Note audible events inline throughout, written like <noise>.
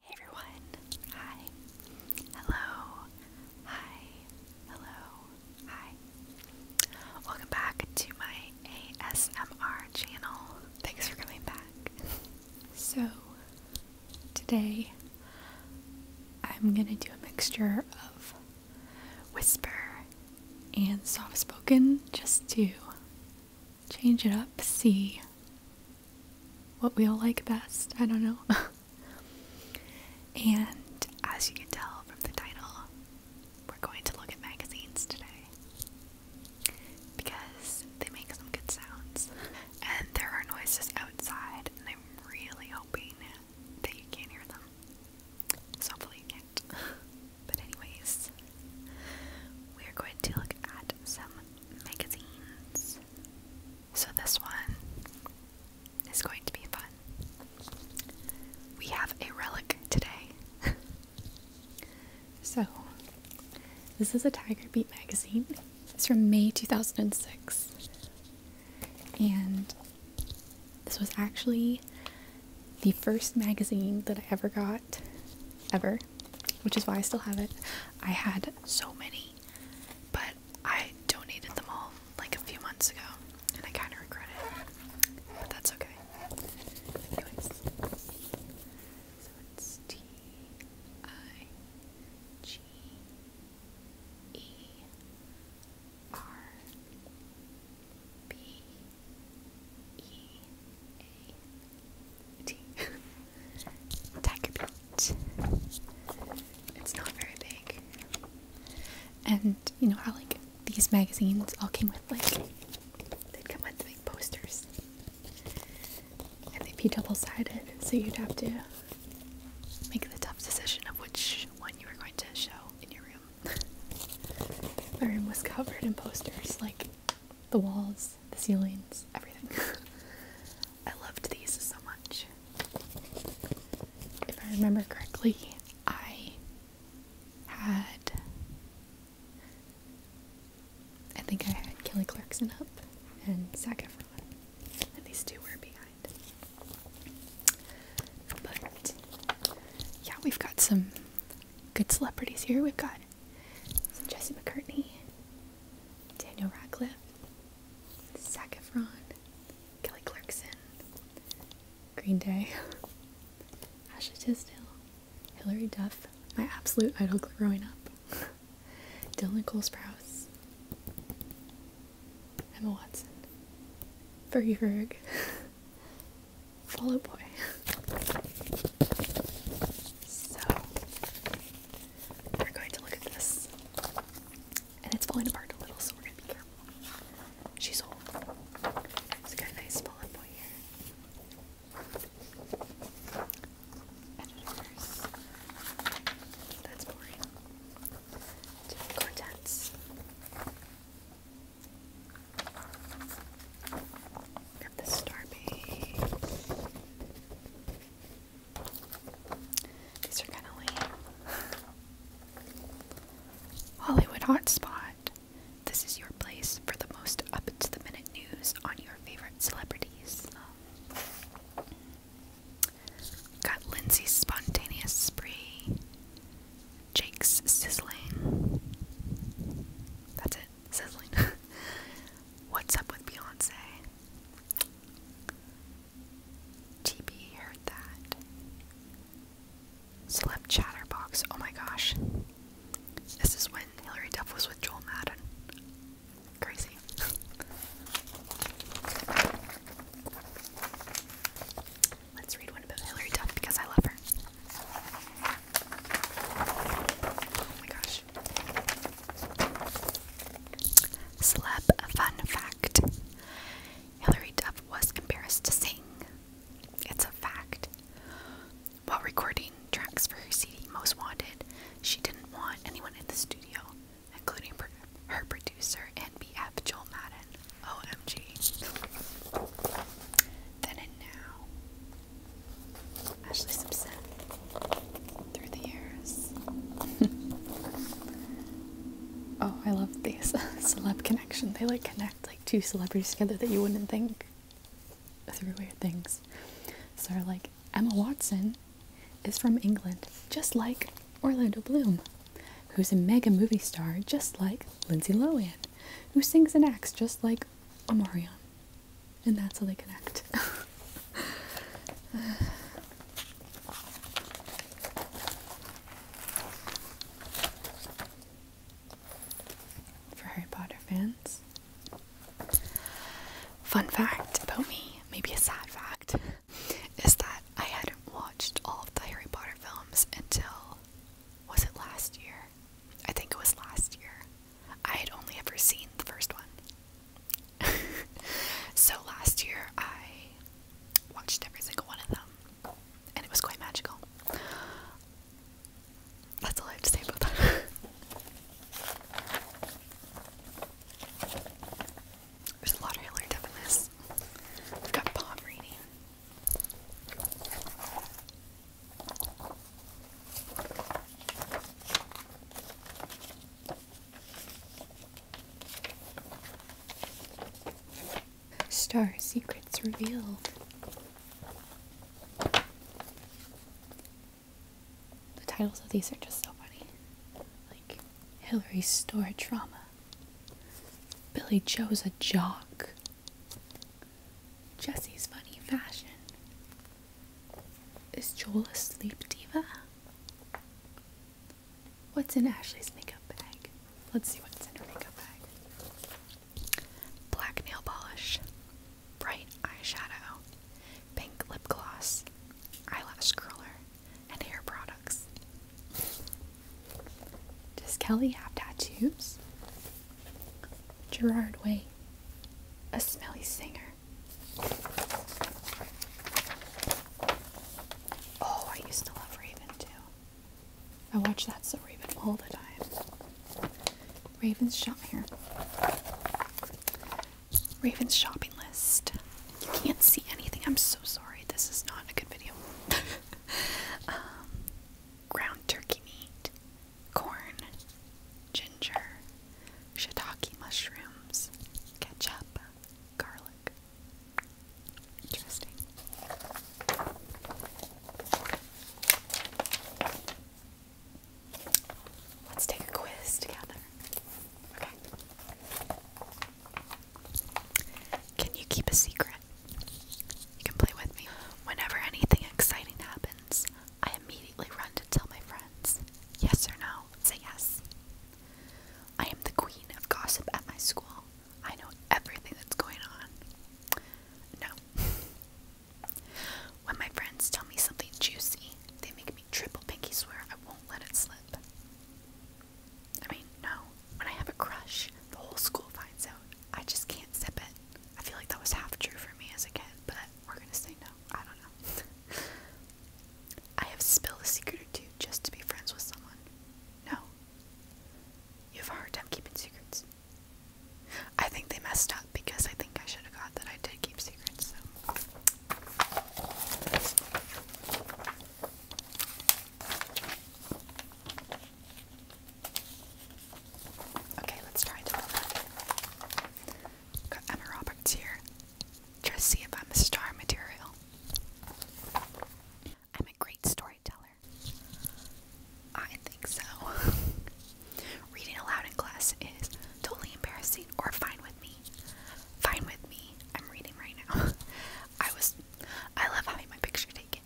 Hey everyone. Hi. Hello. Hi. Hello. Hi. Welcome back to my ASMR channel. Thanks for coming back. so, today I'm going to do a mixture of whisper and soft spoken just to change it up, see what we all like best. I don't know. <laughs> and as you can tell from the title, we're going to look at magazines today because they make some good sounds. And there are noises outside, and I'm really hoping that you can hear them. So hopefully you can't. <laughs> But anyways, we are going to look at some magazines. So this one is going to be fun. We have a relic today. <laughs> so, this is a Tiger Beat magazine. It's from May 2006. And this was actually the first magazine that I ever got, ever, which is why I still have it. I had so many, but I donated them all like a few months ago, and I kind of regret it, but that's okay. Anyways, so it's T I G E R B E A tea. Tiger Beach. It's not very big. And you know how like these magazines all came with like they'd come with big posters. And they'd be double sided, so you'd have to make the tough decision of which one you were going to show in your room. <laughs> My room was covered in posters, like the walls, the ceilings, everything. I loved these so much. If I remember correctly, I had. I think I had Kelly Clarkson up and Zac Efron. And these two were behind. But yeah, we've got some good celebrities here. We've got some Jesse McCartney, Daniel Radcliffe, Zac Efron, Kelly Clarkson, Green Day, <laughs> Ashley Tisdale, Hilary Duff, my absolute idol growing up, <laughs> Dylan Cole Sprouse, Emma Watson, Fergie Ferg, <laughs> Boy. So, we're going to look at this. And it's falling apart a little, so we're gonna be careful. She's old. It's got a nice fallen boy Editors. That's boring. Different contents. Got the star page. These are kind of lame. Hollywood Hotspot. This is your place for the most up to the minute news on your favorite celebrities. got Lindsay's spontaneous spree, Jake's sizzling. That's it, sizzling. <laughs> What's up with Beyonce? TB heard that. Celeb Chatterbox. Oh my gosh. This is when Hillary Duff was with Joel Madden. Crazy. Let's read one about Hillary Duff because I love her. Oh my gosh gosh. Celeb fun fact. Hilary Duff was embarrassed to sing. It's a fact. While recording tracks for her CD Most Wanted, she didn't want anyone in the studio, including her producer and BF Joel Madden. OMG. Then and now. Ashley's Simpson through the years. <laughs> oh, I love these <laughs> celeb connection. They like connect like two celebrities together that you wouldn't think through weird things. So like Emma Watson is from England, just like Orlando Bloom, who's a mega movie star, just like Lindsay Lohan, who sings and acts just like Omarion and that's how they connect. <laughs> For Harry Potter fans, fun fact about me, maybe a sad fact, is that I hadn't watched all of the Harry Potter films until was it last year? I think it was last year. I had only ever seen the first one. <laughs> so last year I watched every single one of them, and it was quite magical. That's all I have to say about that. <laughs> There's a lot of Hillary Duff have got palm reading. Star secrets revealed. The titles of these are just so funny. Like Hillary's store trauma. Billy Joe's a jock. Jesse's funny fashion. Is Joel asleep, diva? What's in Ashley's makeup bag? Let's see what's in her makeup bag. Black nail polish, bright eyeshadow, pink lip gloss, eyelash curler, and hair products. Does Kelly have tattoos? Gerard Way, a smelly singer. Oh, I used to love Raven too. I watch that so Raven all the time. Raven's shop here. Raven's shopping list. You can't see anything. I'm so sorry. This is not a good video. <laughs> um, ground turkey meat, corn, ginger, shiitake mushrooms, ketchup, garlic. Interesting. Let's take a quiz together. Okay. Can you keep a secret? You can play with me. Whenever anything exciting happens, I immediately run to tell my friend. Yes or no? Say yes. I am the queen of gossip at my school. I know everything that's going on. No. When my friends tell me something juicy, they make me triple pinky swear I won't let it slip. I mean, no. When I have a crush, the whole school finds out. I just can't sip it. I feel like that was half true for me as a kid, but we're gonna say no. I don't know. <laughs> I have spilled a secret or two just to be friends with someone. No. You have a hard time keeping secrets. I think they messed up because I think I should have got that I did keep secrets, so. Okay, let's try to Emma Roberts here. Try see if I'm a star material. I'm a great storyteller. I think so. <laughs> Reading aloud in class is totally embarrassing or fine with me. Fine with me. I'm reading right now. <laughs> I was. I love having my picture taken.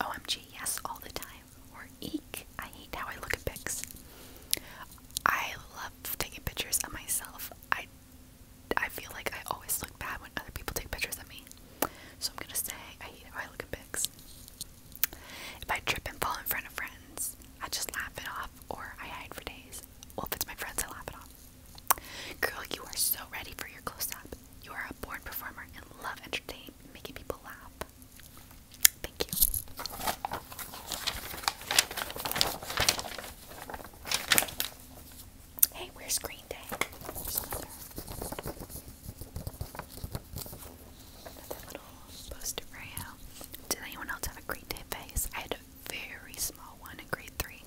OMG, yes, all the time. Or Eek! I hate how I look at pics. I love taking pictures of myself. I I feel like I always look bad when other people take pictures of me. So I'm gonna say I hate how I look at pics. If I trip and fall in front of friends, I just laugh it off or I hide for days. Well, if it's my friends, I laugh it off. Girl, you are so ready for your close up. You are a born performer and love entertaining, making people laugh. Thank you. Hey, where's Green Day? another, little poster for you. Did anyone else have a Green Day face? I had a very small one in grade three.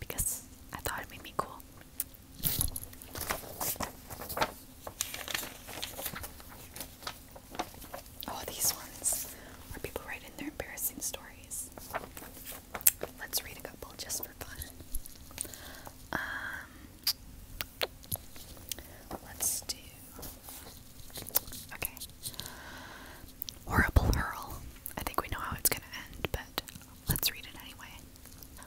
Because I thought it made me cool. Oh, these ones where people write their embarrassing stories. Let's read a couple just for fun. Um, let's do. Okay. Horrible Hurl. I think we know how it's gonna end, but let's read it anyway.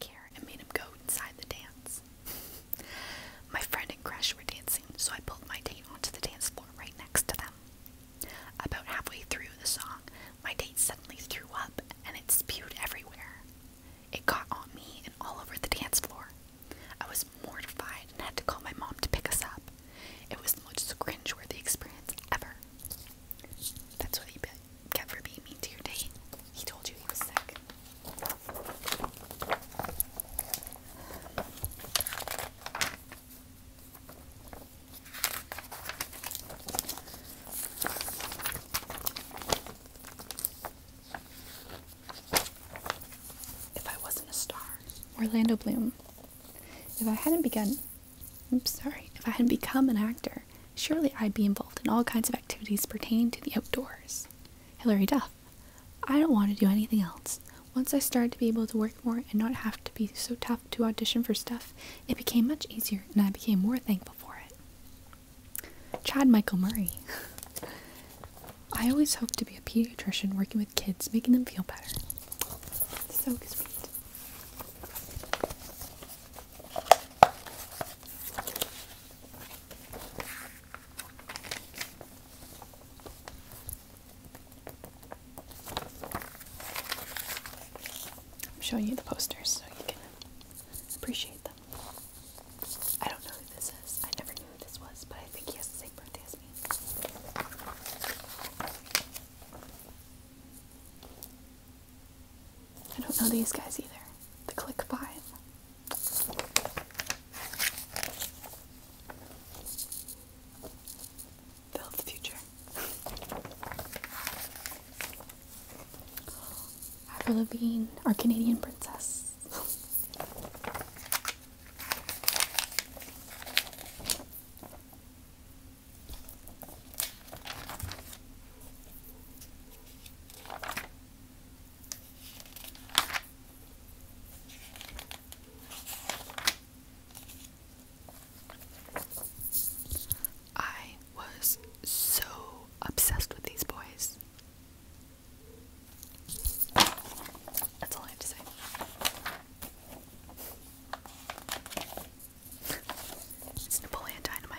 did and made him go inside the dance. <laughs> my friend and Crash were dancing, so I pulled my date onto the dance floor right next to them. About halfway through the song, my date suddenly threw up and it spewed everywhere. It got on me and all over the dance floor. I was mortified and had to call my mom to pick us up. It was the most cringe-worthy experience ever. That's why he kept for being mean to your date. He told you he was sick. If I wasn't a star. Orlando Bloom. If I hadn't begun, I'm sorry, if I hadn't become an actor, surely I'd be involved in all kinds of activities pertaining to the outdoors. Hillary Duff. I don't want to do anything else. Once I started to be able to work more and not have to be so tough to audition for stuff, it became much easier and I became more thankful for it. Chad Michael Murray. I always hoped to be a pediatrician working with kids, making them feel better. So sweet. I'm showing you the posters so you can appreciate them. I don't know who this is. I never knew who this was, but I think he has the same birthday as me. I don't know these guys either the click vibe. Build the future. <laughs> Avril Lavigne, our Canadian princess. I was so obsessed with these boys. That's all I have to say. It's Napoleon Dynamite.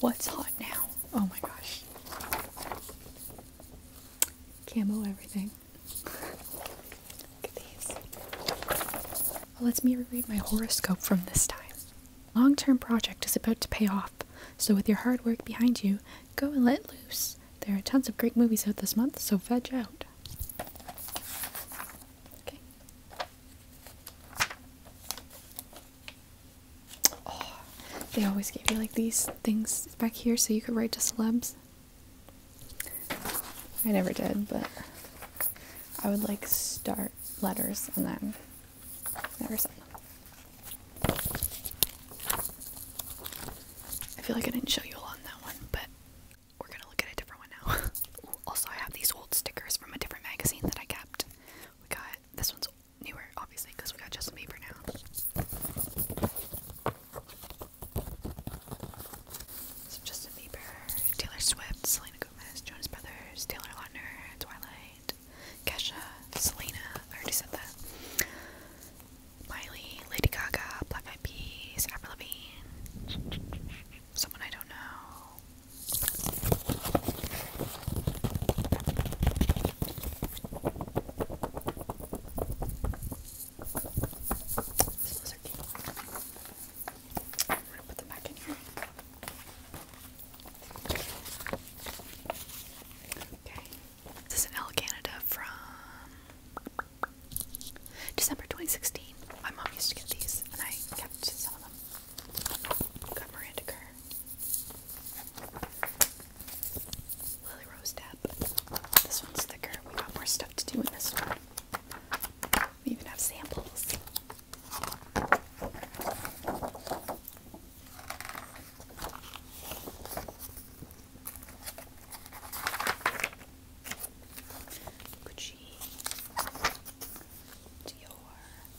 What's hot now? Oh my gosh. Camo everything. <laughs> Look at these. let's me reread my horoscope from this time. Long-term project is about to pay off, so with your hard work behind you, go and let loose. There are tons of great movies out this month, so veg out. Okay. Oh, they always gave you like these things back here so you could write to celebs. I never did, but I would like start letters and then never send them. I feel like I didn't show you a lot in that one, but we're gonna look at a different one now. <laughs> also, I have these old stickers from a different magazine that I kept. We got this one's newer, obviously, because we got Justin Bieber now. So Justin Bieber, Taylor Swift, Selena Gomez, Jonas Brothers, Taylor Lautner, Twilight, Kesha, Selena. I already said that. Miley, Lady Gaga, Black Eyed Peas, Avril Lavigne, someone I don't know, this is an L Canada from December 2016. My mom used to get these and I kept some of them. Got Miranda Kerr. Lily Rose Tap. This one's thicker. We got more stuff to do in this one. We even have samples. Gucci, Dior,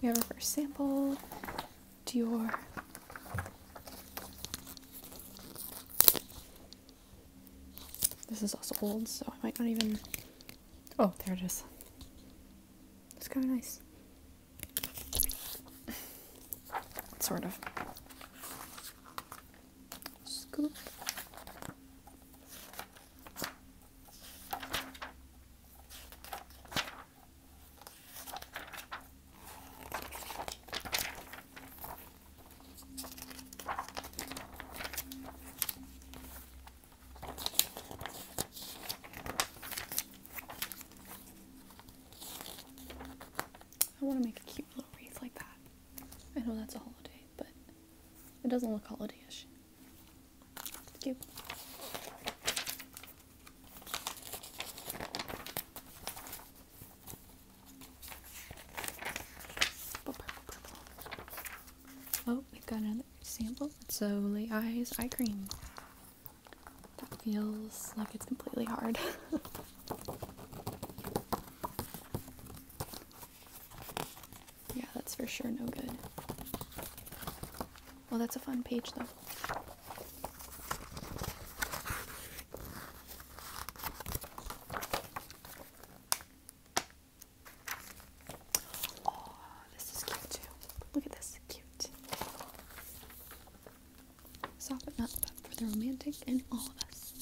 We have our first sample. Dior. This is also old, so I might not even... Oh, there it is. It's kind of nice. sort of. Scoop. I want to make a cute little wreath like that. I know that's a holiday, but it doesn't look holiday ish. Thank you. Oh, we've got another sample. It's Olay Eyes Eye Cream. That feels like it's completely hard. <laughs> yeah, that's for sure no good. Well, that's a fun page, though. Oh, this is cute, too. Look at this. Cute. Soft but for the romantic in all of us.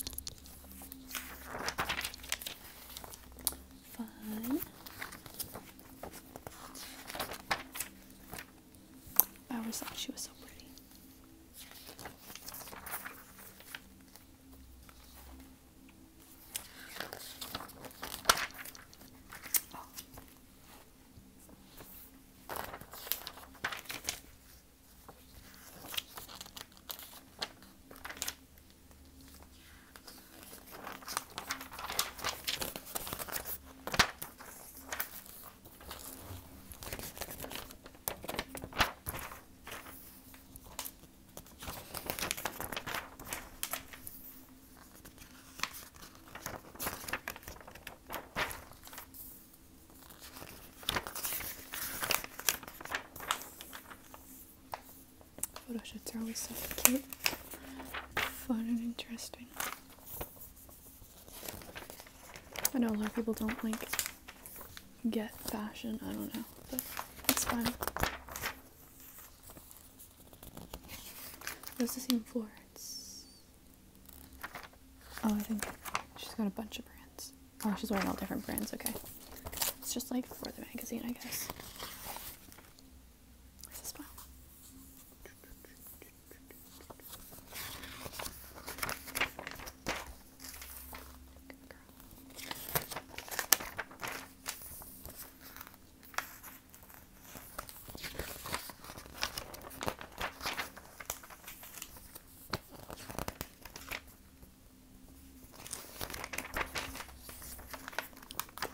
Fun. I always thought she was so pretty. Photo shoots are always so cute, fun, and interesting. I know a lot of people don't like get fashion, I don't know, but it's fine. What's the same Florence? Oh, I think she's got a bunch of brands. Oh, she's wearing all different brands, okay. It's just like for the magazine, I guess.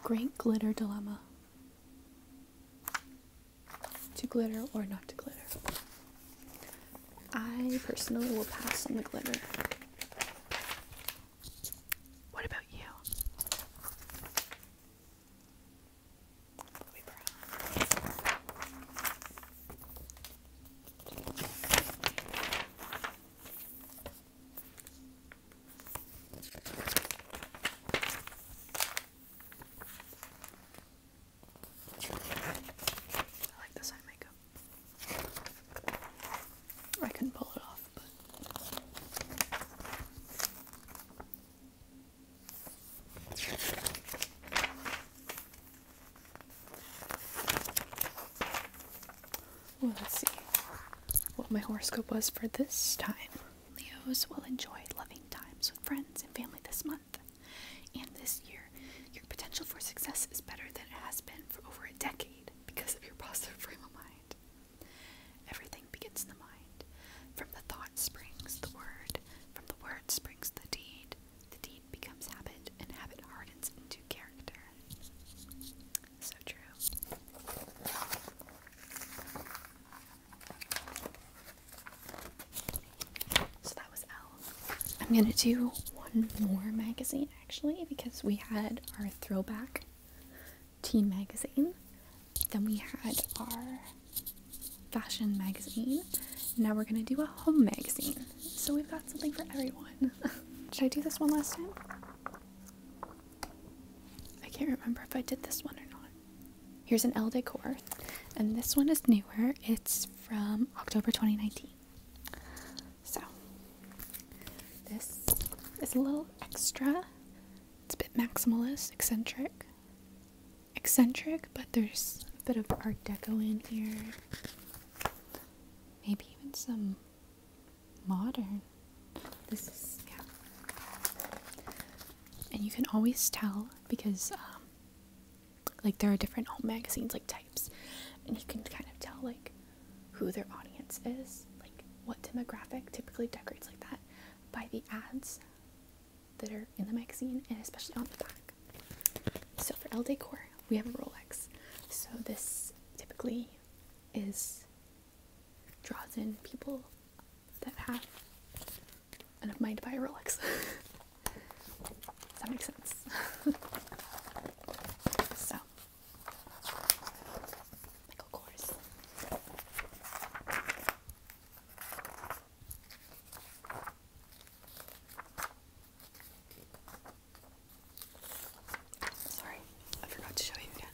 Great glitter dilemma to glitter or not to glitter. I personally will pass on the glitter. What about you? I like this eye makeup. I can pull it off, let's see what my horoscope was for this time. Leos will enjoy loving times with friends and family this month and this year. Your potential for success is better than it has been for over a decade because of your positive frame of mind. Everything begins in the mind. From the thought springs the word, from the word springs the deed. The deed becomes habit, and habit hardens into character. So true. So that was L. I'm gonna do one more magazine actually because we had our throwback teen magazine, then we had our fashion magazine. Now we're gonna do a home magazine. So we've got something for everyone. did <laughs> I do this one last time? I can't remember if I did this one or not. Here's an El Decor, and this one is newer. It's from October 2019. So, this is a little extra. It's a bit maximalist, eccentric. Eccentric, but there's a bit of Art Deco in here. Maybe even some modern. This yeah. And you can always tell because, um, like, there are different magazines, like, types. And you can kind of tell, like, who their audience is, like, what demographic typically decorates like that by the ads that are in the magazine and especially on the back. So for L Decor, we have a Rolex. So this typically is draws in people that have enough money to buy a Rolex. <laughs> Does that make sense? <laughs> so, Michael Kors. Sorry, I forgot to show you again.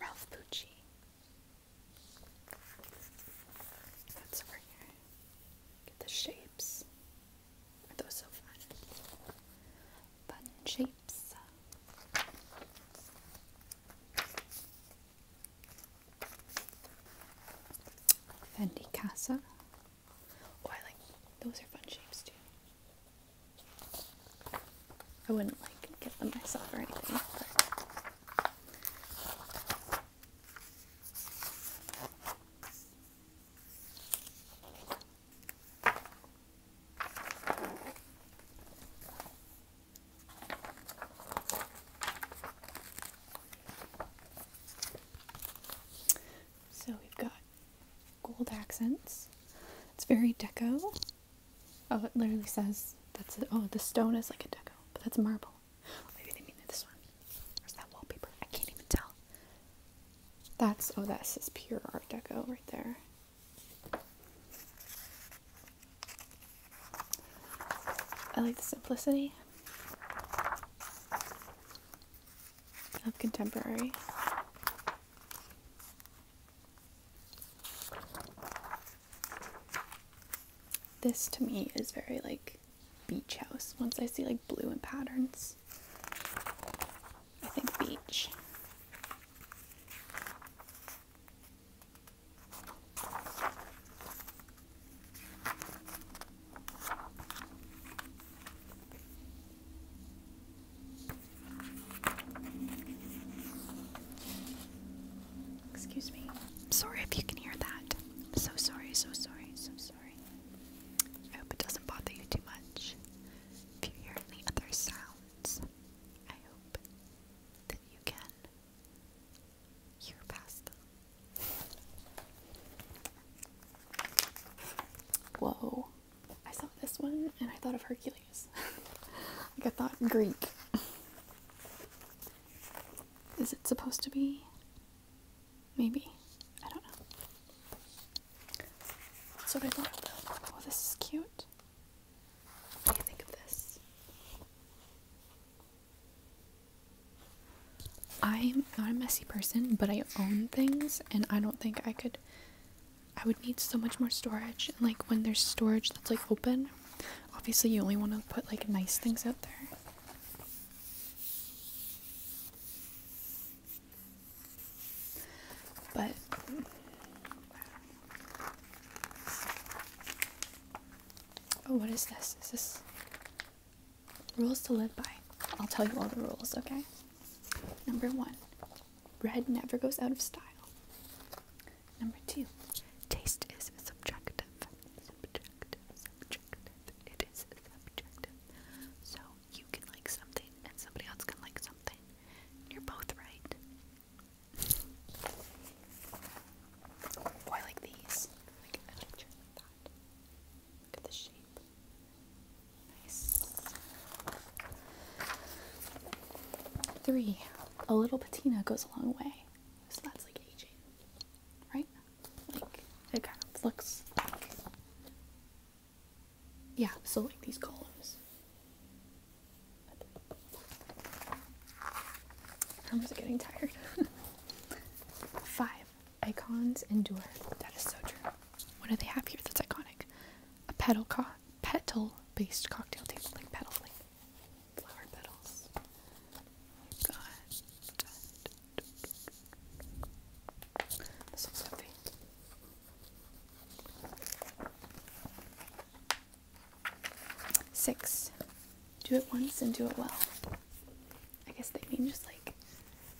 Ralph Pucci. That's over here. Get the shapes. That was so fun. shapes. Fendi Casa. Oh, I like those are fun shapes too. I wouldn't like get them myself or anything. But. So we've got gold accents. It's very deco. Oh, it literally says that's it. Oh, the stone is like a deco, but that's marble. Maybe they mean this one. Where's that wallpaper? I can't even tell. That's, oh, that says pure Art Deco right there. I like the simplicity of contemporary. This to me is very like beach house once I see like blue and patterns. I think beach. Excuse me. Sorry if you can hear that. So sorry, so sorry, so sorry. I hope it doesn't bother you too much. If you hear any other sounds, I hope that you can hear past them. Whoa. I saw this one and I thought of Hercules. <laughs> like I thought Greek. Is it supposed to be Maybe. I don't know. That's what I thought. Oh, this is cute. What do you think of this? I'm not a messy person, but I own things, and I don't think I could. I would need so much more storage. And like when there's storage that's like open, obviously you only want to put like nice things out there. But oh, what is this? Is this rules to live by? I'll tell you all the rules, okay? Number one, red never goes out of style. Number two, taste is subjective. Subjective, subjective. It is subjective. So you can like something and somebody else can like something. You're both right. Oh, I like these. Like a like that. Look at the shape. Nice. Three. A little patina goes a long way. So that's like aging. Right? Like it kind of looks like yeah, so like these columns. i are just getting tired. <laughs> Five icons endure. That is so true. What do they have here that's iconic? A petal co- petal based cocktail table, like petal like flower petals. We've got Six. Do it once and do it well. I guess they mean just like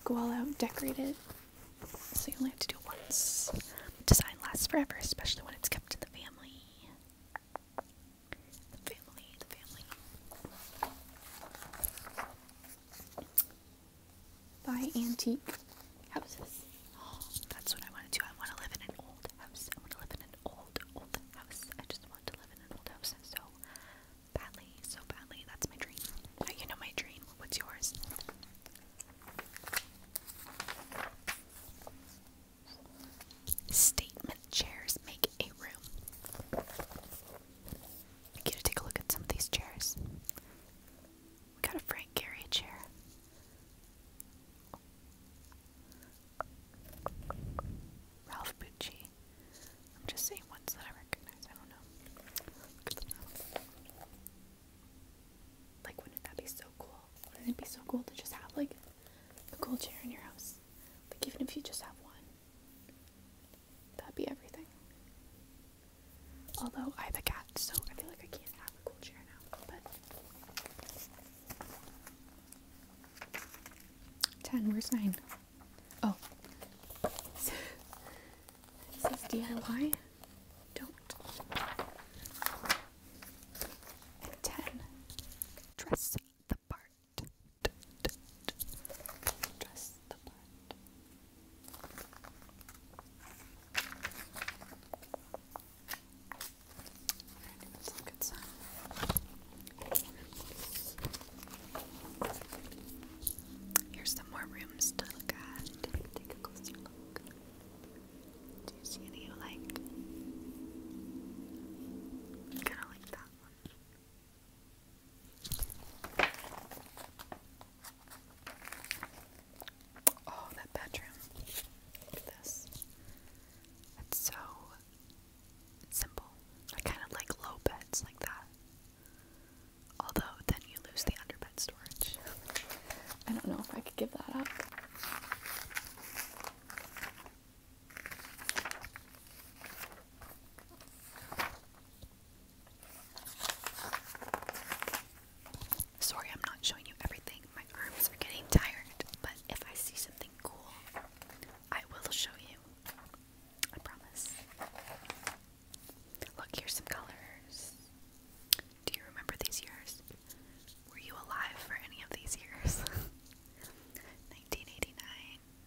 go all out, decorate it. So you only have to do it once. Design lasts forever, especially when it's kept in the family. family, the family. By antique houses. <gasps> that's what I want to do. I want to live in an old house. I want to live in an old, old house. I just want to live in an old house so badly, so badly. That's my dream. you know my dream. What's yours? Statement chairs make a room. I get to take a look at some of these chairs. We got a Frank Gehry chair. Ralph Bucci. I'm just saying ones that I recognize. I don't know. Like, wouldn't that be so cool? Wouldn't it be so cool to just have like a cool chair in your house? Like, even if you just have one, That'd be everything. Although I have a cat, so I feel like I can't have a cool chair now. But ten, where's nine? Oh, <laughs> DIY. Don't. And ten, dress the part. Dress the part. Here's some more rooms to look at. Take a closer look. Do you see any you like? Kinda like that one. Oh, that bedroom. Look at this. It's so simple. I kind of like low beds like that. Although, then you lose the underbed storage. <laughs> I don't know if I could give that up. Sorry, I'm not showing you everything. My arms are getting tired, but if I see something cool, I will show you. I promise. Look, here's some colors. Do you remember these years? Were you alive for any of these years? 1989, <laughs>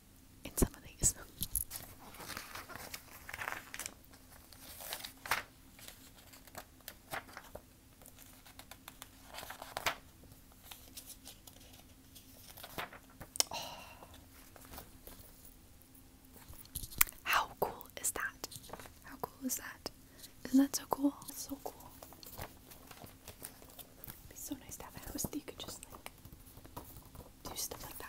in some of these. <sighs> How cool is that? How cool is that? Isn't that so cool? so cool. It'd be so nice to have a house that you could just like do stuff like that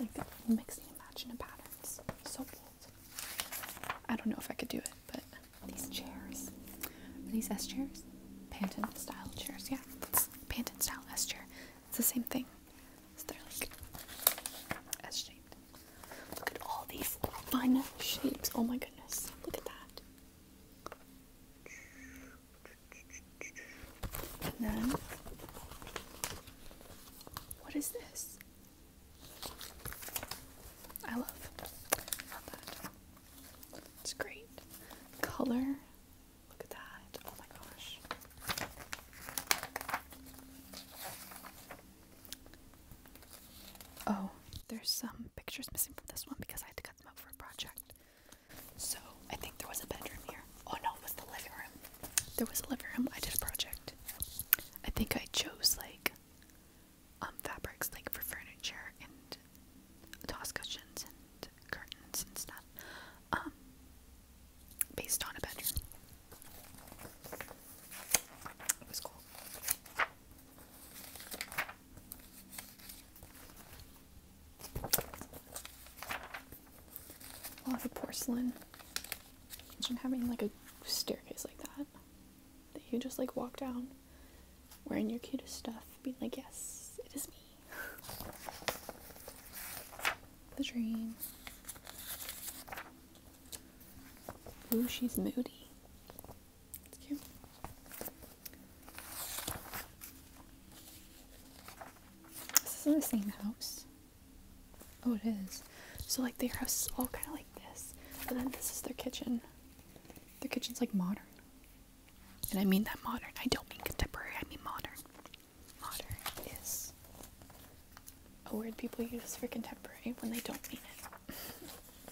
Like mixing and matching of patterns. So bold. I don't know if I could do it, but these chairs. these S chairs? Panton style chairs, yeah. That's Panton style S chair. It's the same thing. they're like S shaped. Look at all these fun shapes. Oh my goodness. Look at that. And then, what is this? I love, love that. It's great. Color. Look at that. Oh my gosh. Oh, there's some pictures missing from this one because I had to cut them out for a project. So I think there was a bedroom here. Oh no, it was the living room. There was a living room. I did a project. I think I chose like um, fabrics like for furniture and toss cushions and curtains and stuff. Um based on a bedroom. It was cool. A lot of porcelain. Imagine having like a staircase like that that you just like walk down wearing your cutest stuff, being like, yes, it is me. <laughs> the dream. Ooh, she's moody. This is in the same house. Oh, it is. So, like, their house is all kind of like this. and then this is their kitchen. Their kitchen's like modern. And I mean that modern. I don't mean contemporary, I mean modern. Modern is a word people use for contemporary when they don't mean it. <laughs>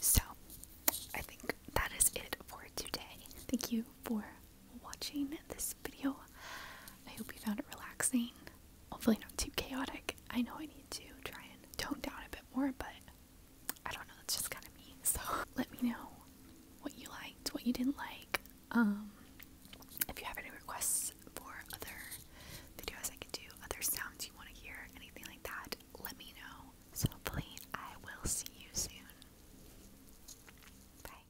So, I think that is it for today. Thank you for watching this video. I hope you found it relaxing. Hopefully, not too chaotic. I know I need to try and tone down a bit more, but I don't know. That's just kind of me. So, <laughs> let me know what you liked, what you didn't like. Um, if you have any requests for other videos I can do, other sounds you want to hear, anything like that, let me know. So hopefully I will see you soon. Bye.